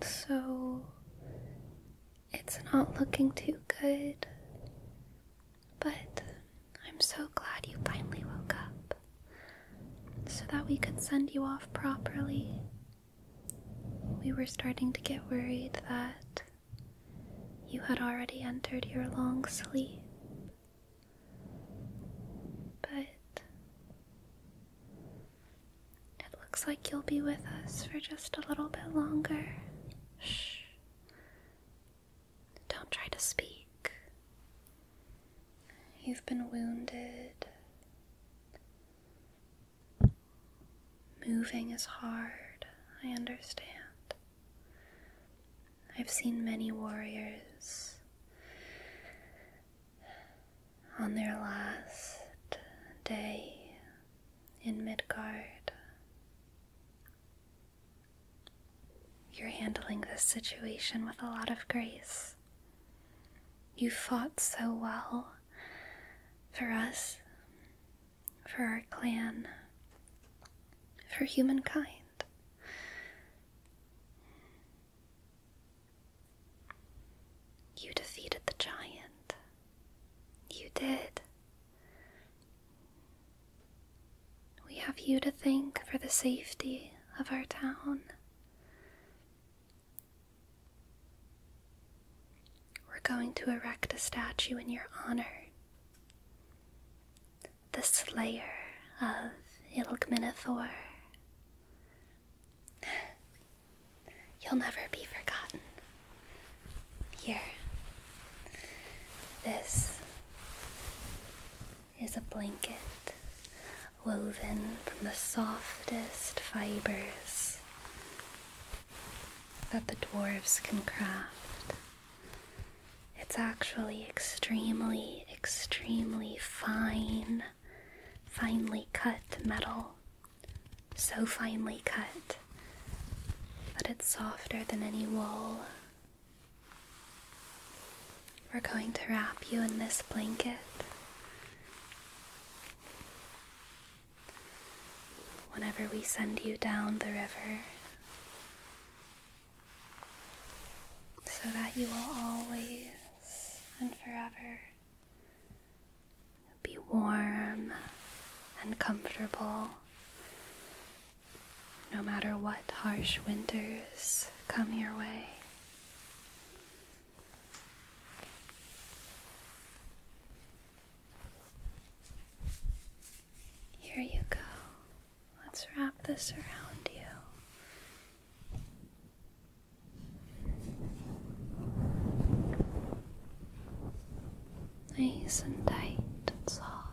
So it's not looking too good, but I'm so glad you finally woke up so that we could send you off properly. We were starting to get worried that you had already entered your long sleep. But it looks like you'll be with us for just a little bit longer. Shh. Don't try to speak. You've been wounded. Moving is hard, I understand. I've seen many warriors on their last day in Midgard. You're handling this situation with a lot of grace. You fought so well for us, for our clan, for humankind. You defeated the giant. You did. We have you to thank for the safety of our town. We're going to erect a statue in your honor. The slayer of Ilgminathor. You'll never be forgotten. Here. This is a blanket woven from the softest fibers that the dwarves can craft. It's actually extremely, extremely fine, finely cut metal so finely cut that it's softer than any wool. We're going to wrap you in this blanket. Whenever we send you down the river, so that you will always and forever be warm and comfortable no matter what harsh winters come your way. Here you go. Let's wrap this around you. Nice and tight and soft.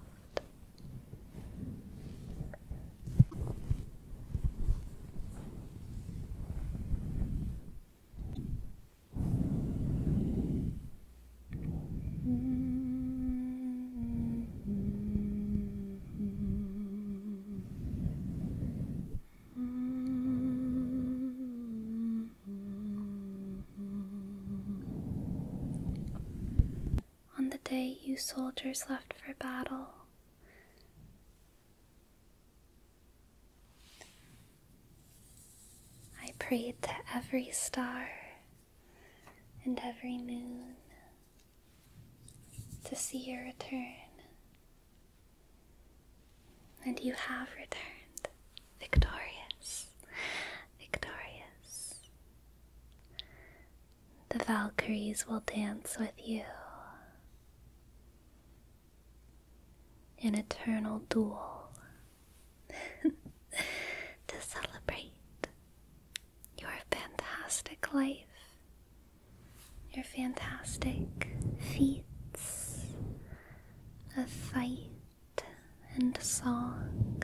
On the day you soldiers left for battle, I prayed to every star and every moon to see your return. And you have returned victorious, victorious. The Valkyries will dance with you. An eternal duel to celebrate your fantastic life, your fantastic feats, a fight and song.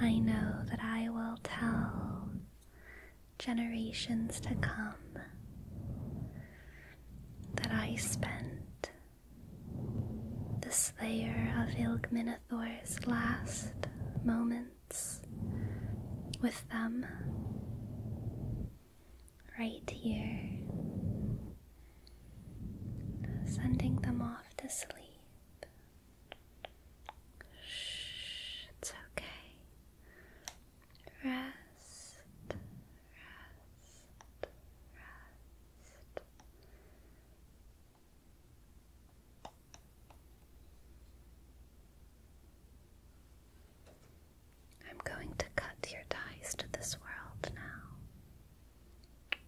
I know that I will tell generations to come that I spent the slayer of Ilgminathor's last moment with them right here, sending them off to sleep. Shh, it's okay. Rest, rest, rest. I'm going to cut your ties to this world now.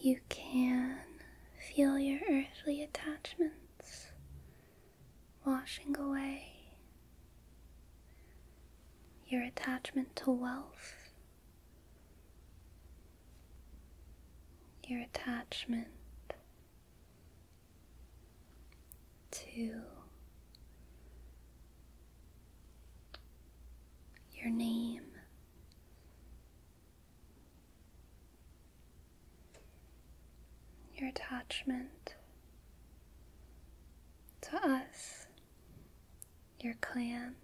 You can feel your earthly attachments washing away, your attachment to wealth your attachment to your name. Your attachment to us your clan,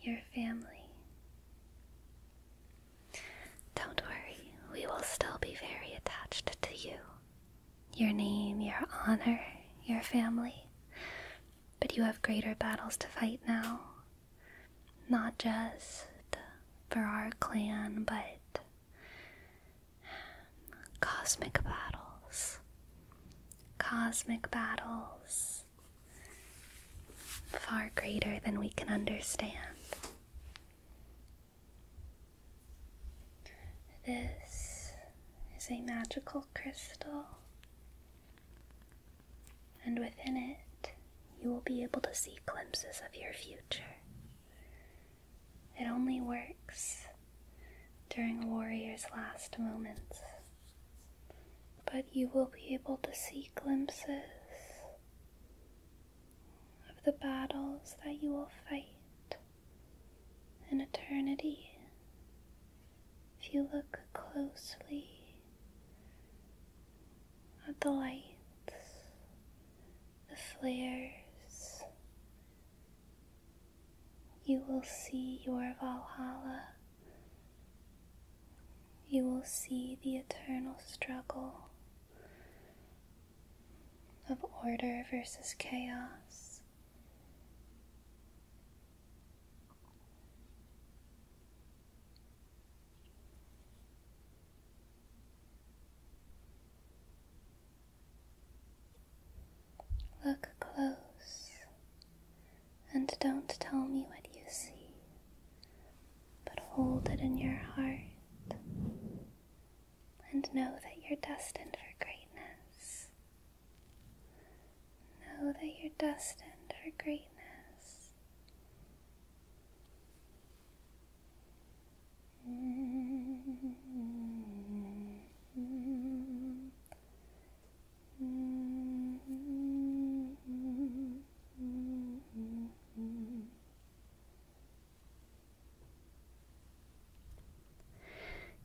your family. Don't worry, we will still be very attached to you. Your name, your honor, your family. But you have greater battles to fight now. Not just for our clan, but cosmic battles cosmic battles far greater than we can understand. This is a magical crystal, and within it, you will be able to see glimpses of your future. It only works during a warrior's last moments. But you will be able to see glimpses of the battles that you will fight in eternity if you look closely at the lights, the flares, you will see your Valhalla. You will see the eternal struggle of order versus chaos. Look close and don't tell me what you see, but hold it in your heart and know that you're destined for greatness. Know that you're destined for greatness.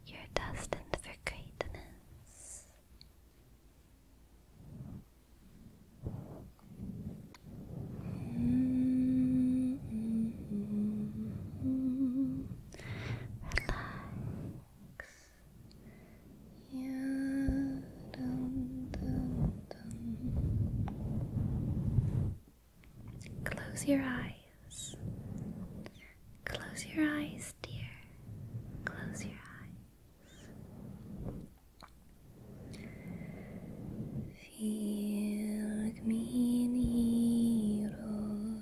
You're destined for greatness. Relax. Yeah, dun, dun, dun. Close your eyes. Close your eyes, dear. Close your eyes. Feel me, Nero.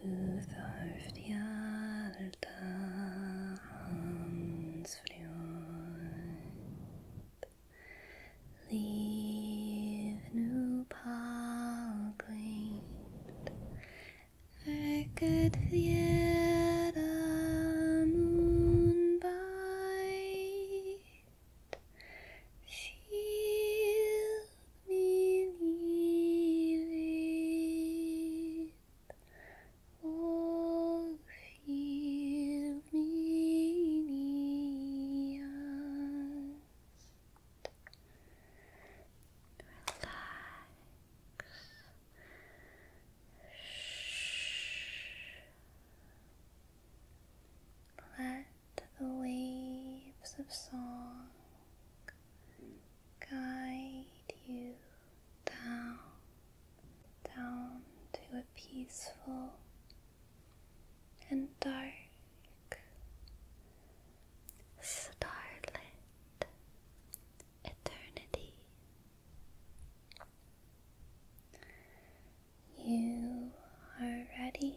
through the Hans Leave new Green, Erget jeder Mund weit. Viel believe it. Oh, feel me Relax. Shh. Let to the waves of song guide you down, down to a peaceful and dark, starlit eternity. You are ready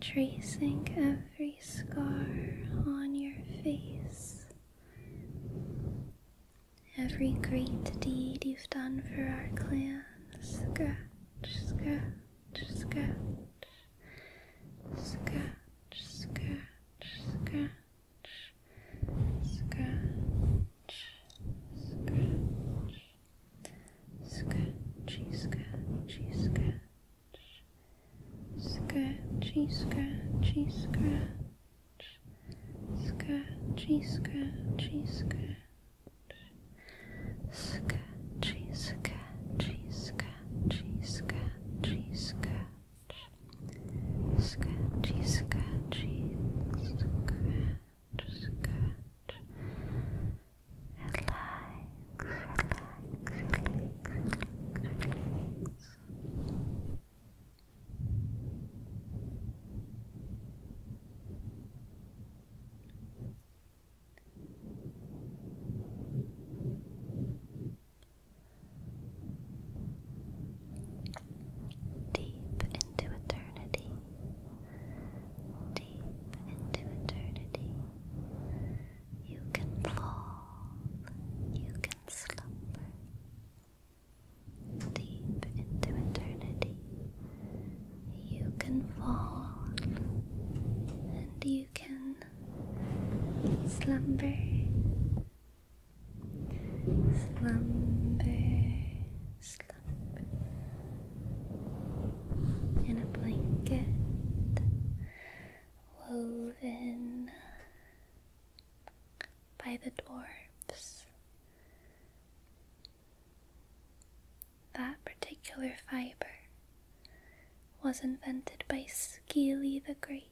Tracing every scar on your face, every great deed you've done for our clan. Scratch, scratch, scratch, scratch, scratch, scratch, scratch scratch, scratchy, scratchy, scratch, scratchy, scratchy, scratch, scratchy, scratchy, scratch. Scratchy, scratchy, scratchy, scratchy, scratch. Scratchy, scratchy, scratch scratch. Relax, relax, relax, relax. Deep into eternity deep into eternity. You can fall, you can slumber. Deep into eternity, you can fall and you can slumber, slumber, slump in a blanket woven by the dwarves. That particular fiber was invented by Skeely the Great.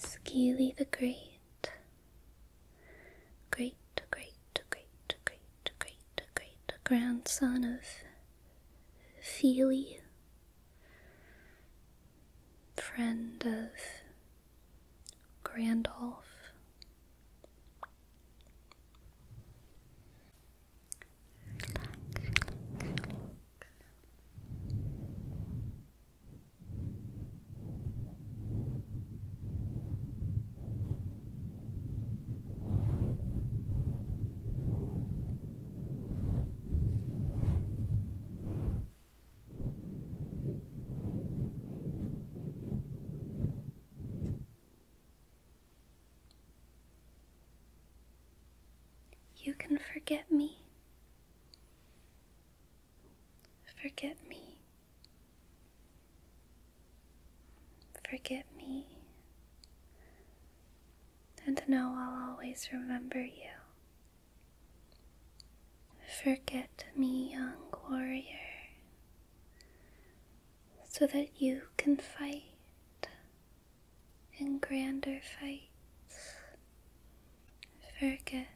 Skeely the Great great, great, great, great, great, great grandson of Feely, friend of Grandolph. You can forget me. Forget me. Forget me, and know I'll always remember you. Forget me, young warrior, so that you can fight in grander fights. Forget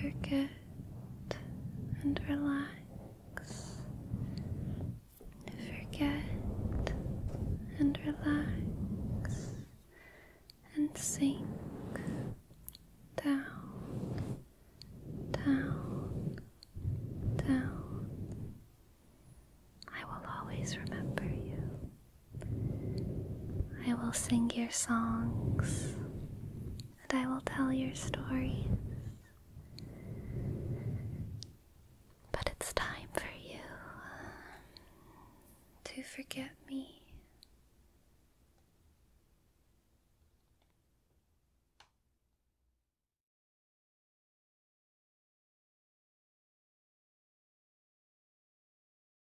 forget and relax. Forget and relax and sink down, down, down. I will always remember you. I will sing your songs and I will tell your stories. But it's time for you um, to forget me.